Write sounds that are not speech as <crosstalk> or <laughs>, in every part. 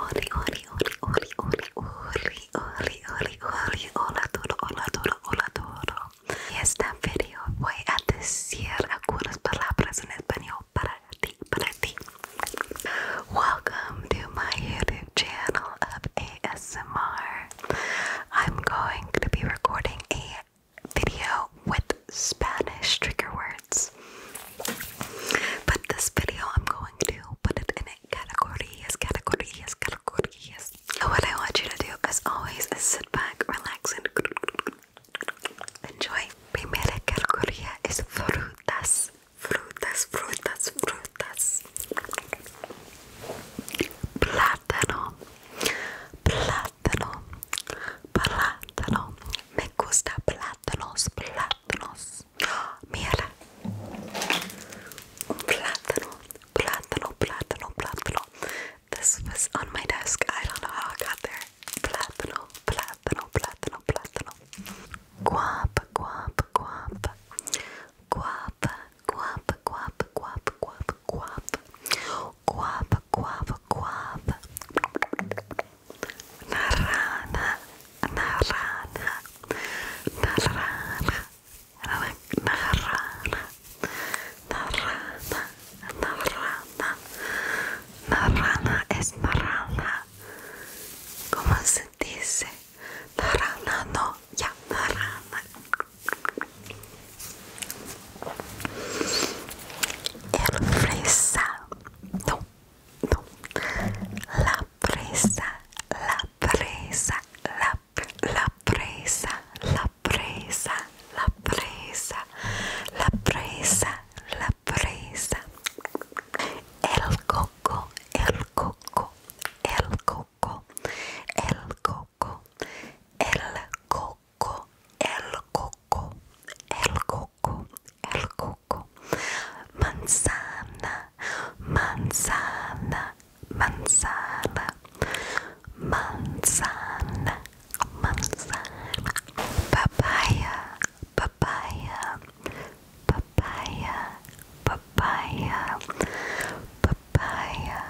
Oli, oli, oli, oli, oli, oli, oli, hola Duro, hola Duro, hola Duro. En este video voy a decir algunas palabras en español para ti, para ti. Welcome to my YouTube channel of ASMR. I'm going to be recording a video with Spanish trigger words. But this video, I'm going to put it in a categories, categories, categories. So what I want you to do, as always, is sit back, relax, and enjoy. Primera categoría es frutas frutas, frutas, frutas. Plátano, plátano, plátano. Me gusta plátanos, plátanos. Mira, plátano, plátano, plátano, plátano. This was on my desk. I don't know how I got there. Plátano, plátano. plátano, plátano, plátano. Guapa, guapa, guapa. Guapa, guapa, guapa, guapa, guapa, guapa. Guapa, es naranja. ¿Cómo se dice no, ya naranja. El presa no, no, la presa, la presa, la, la presa, la presa, la presa, la presa, la presa. El coco, el coco, el coco, el coco, el coco, el coco, el coco, el coco, manzana, manzana, manzana, manzana, manzana, papaya, papaya papaya, papaya, papaya,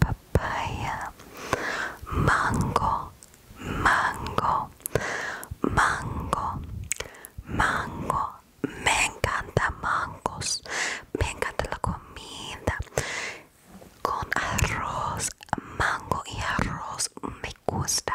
papaya, mango, mango, mango, mango. Me encantan mangos, me encanta la comida con arroz, mango y arroz me gusta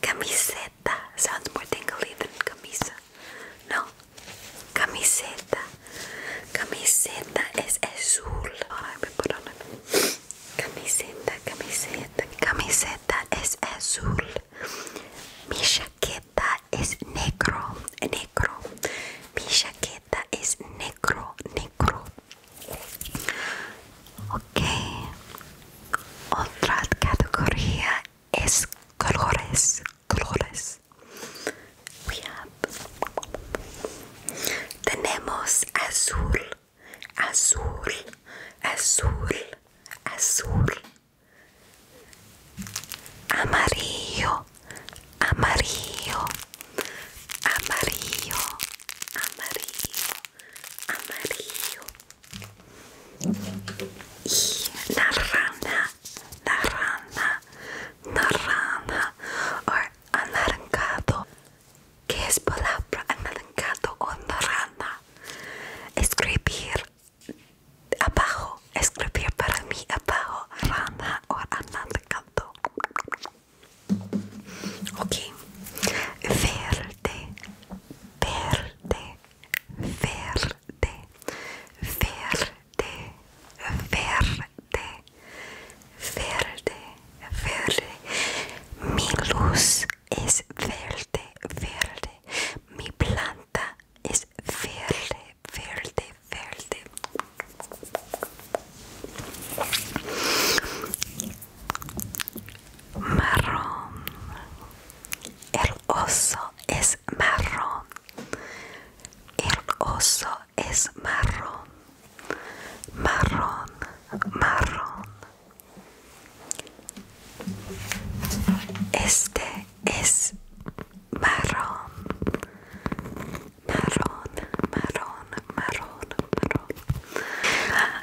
Camiseta sounds more tingly than camisa. No, camiseta. Camiseta es azul. Oh, I put Camiseta, camiseta. Camiseta es azul. Mi chaqueta es negro, negro. Mi chaqueta es negro, negro. Ok, otra categoría es colores, colores. Tenemos azul, azul, azul, azul. Amarillo, amarillo, amarillo, amarillo amarillo y naranja, naranja, naranja o anaranjado. ¿Qué es palabra anaranjado o naranja? Escribir abajo, escribir para mí abajo, naranja o anaranjado. Okay, Verde, verde, verde, verde, verde, verde, verde. Mi luz es verde, verde. Mi planta es verde, verde, verde marrón el oso es marrón el oso es marrón marrón marrón este es marrón marrón marrón marrón marrón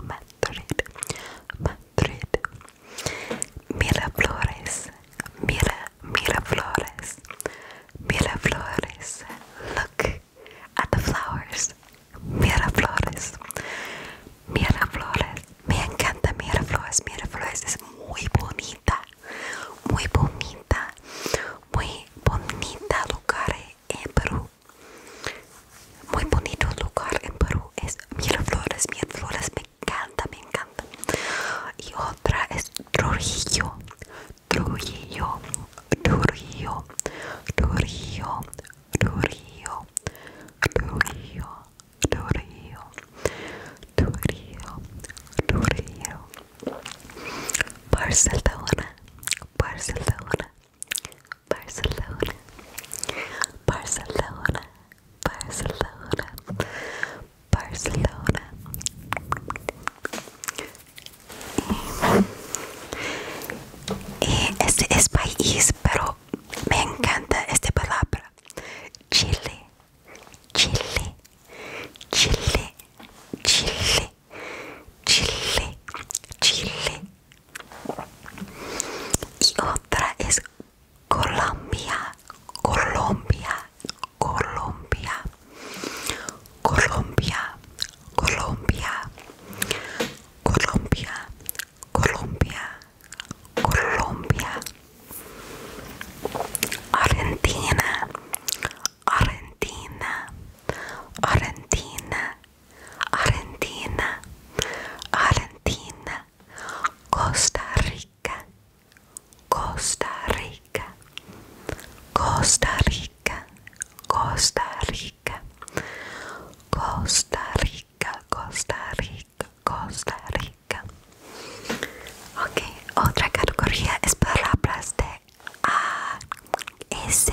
Madrid, Madrid, Madrid. Mira flores, mira, mira flores, mira flores. Look at the flowers. Mira flores, mira flores. Me encanta mira flores, mira flores es muy bonita, muy bonita, muy bonita lugar eh, en Perú. Muy bonito lugar en Perú es Miraflores. flores, me encanta, me encanta. Y otra es Trujillo. Trujillo, Trujillo, Trujillo, Trujillo, Trujillo, Trujillo, Trujillo, Trujillo. Barcelona, Barcelona, Barcelona, Barcelona, Barcelona, Barcelona. Eh, este es país, pero me encanta esta palabra. Chile, Chile, Chile, Chile. Chile, Chile. Y otra es Colombia, Colombia, Colombia, Colombia, Colombia, Colombia, Colombia, Colombia, Argentina, Argentina, Argentina. Argentina, Argentina, Costa Rica, Costa Rica, Costa Rica, Costa Rica, Costa Rica, Costa Rica, Costa Rica. Ok, otra categoría es palabras de A, S,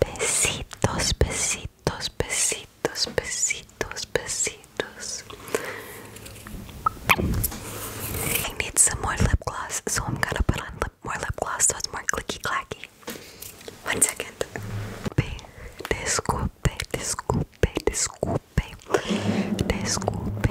besitos, besitos, besitos, besitos, besitos, besitos. I need some more lip gloss, so I'm gonna put on more lip gloss so it's more clicky clacky. One second. desculpe, desculpe, desculpe, desculpe.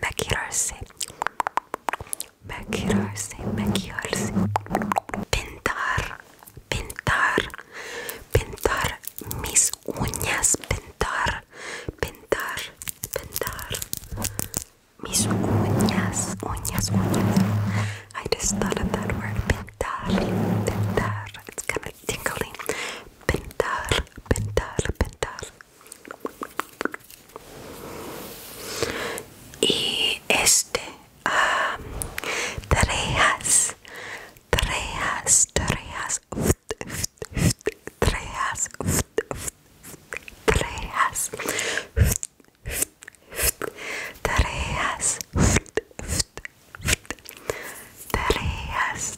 maquillarse, maquillarse, maquillarse, pintar, pintar, pintar mis uñas, pintar, pintar, pintar mis uñas, uñas, uñas. I just thought of that word, pintar, pintar. It's kind of tingly. Pintar, pintar, pintar y este um, trejas trejas trejas trejas trejas tareas tareas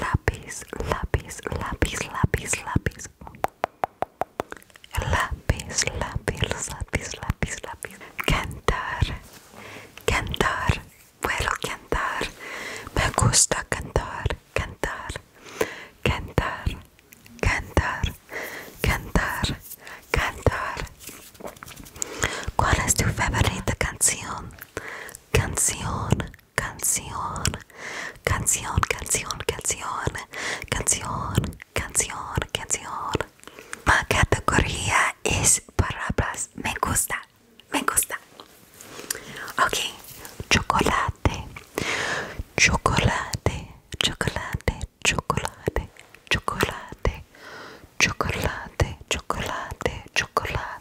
lápiz, lápiz, lápiz, lápiz, lápiz, lápiz, lápiz, lápiz, lápiz, lápiz, cantar, cantar, puedo cantar, me gusta cantar, cantar, cantar, cantar, cantar, cantar. ¿Cuál es tu favorita canción? canción, canción, canción, canción, canción, canción, canción, canción. La categoría es palabras. Me gusta, me gusta. Ok, chocolate, chocolate, chocolate, chocolate, chocolate, chocolate, chocolate, chocolate.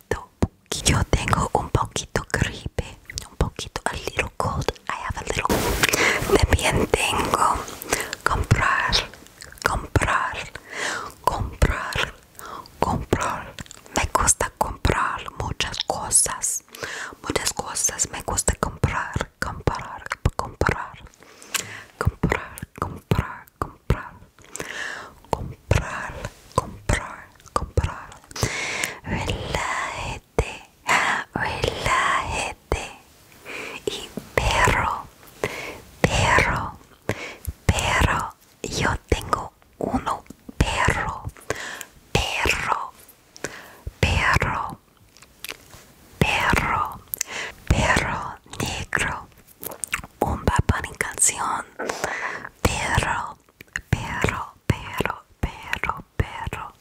yo tengo un poquito gripe un poquito a little cold I have a little también tengo comprar comprar comprar comprar me gusta comprar muchas cosas muchas cosas me gusta comprar comprar comprar comprar comprar comprar, comprar, comprar, comprar. vela ah, Y perro, perro, perro. Yo tengo uno perro, perro, perro, perro, perro negro. un Bad Bunny canción pero pero pero pero pero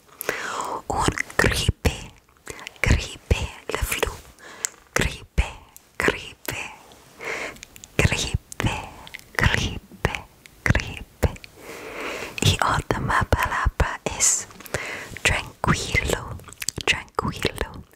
un gripe gripe le flu gripe gripe gripe gripe gripe y otra palabra es tranquilo tranquilo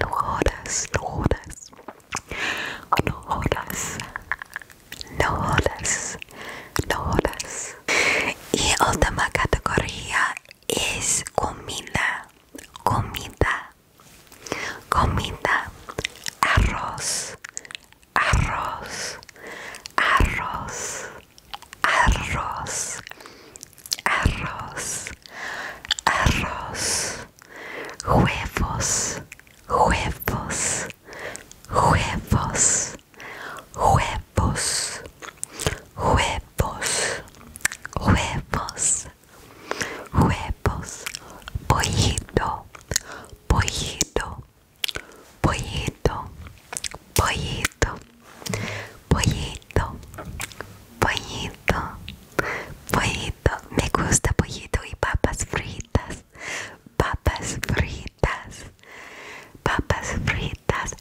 jodas No jodas No jodas Y última categoría es comida, comida, comida, arroz, arroz, arroz, arroz, arroz, arroz, huevos, huevos, huevos, huevos, huevos, huevos, huevos, pollito, pollito, pollito, pollito, pollito, pollito pollito, me gusta pollito y papas fritas, papas fritas, papas fritas,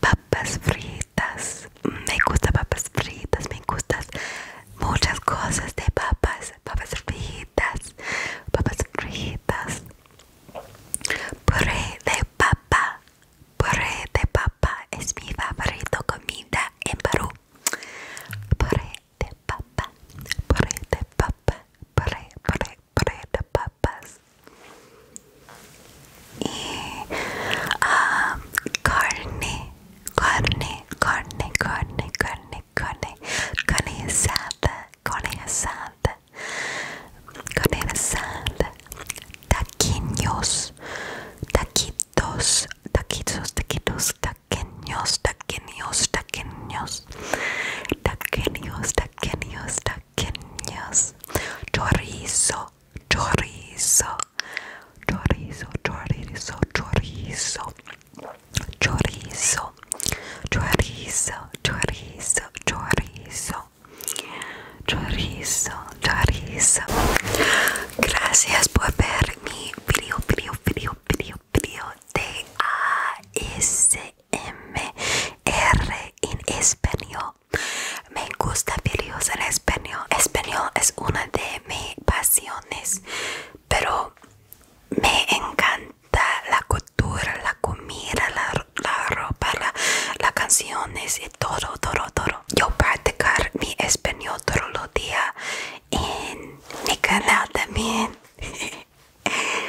papas fritas, me gusta papas fritas, me gustan muchas cosas de papas, papas fritas, papas fritas, puré de papa. Puré de papa es mi favorito comida en Perú. Prete papa, prete papa, pre, pre, prete papas. Y um, carne, carne, carne, carne, carne, carne, carne asada, carne asada, carne asada, taquillos, taquitos, taquitos, taquitos, taquillos taquenios, taquenios, taquenios, taquenios, taquenios, chorizo, chorizo, chorizo, chorizo, chorizo, chorizo, chorizo, chorizo, chorizo, chorizo, Charis, Gracias por ver mi video, video, video, video, video de ASMR en español. Me gusta videos en español. Español es una de mis pasiones, pero me encanta la cultura, la comida, la, ropa, la, las canciones todo, todo, todo. Yo practicar mi español todos los días en mi canal también. <laughs>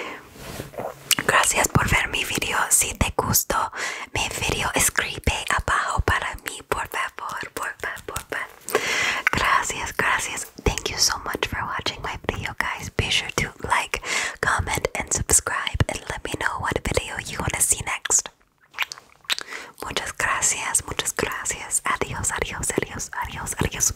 Gracias por ver mi video. Si te gustó mi video, escribe abajo para mí, por favor, por favor, por favor. Gracias, gracias. Thank you so much for watching my video, guys. Be sure to like, comment, and subscribe, and let me know what video you want to see next. Muchas gracias, muchas gracias. Adiós, adiós, adiós, adiós, adiós.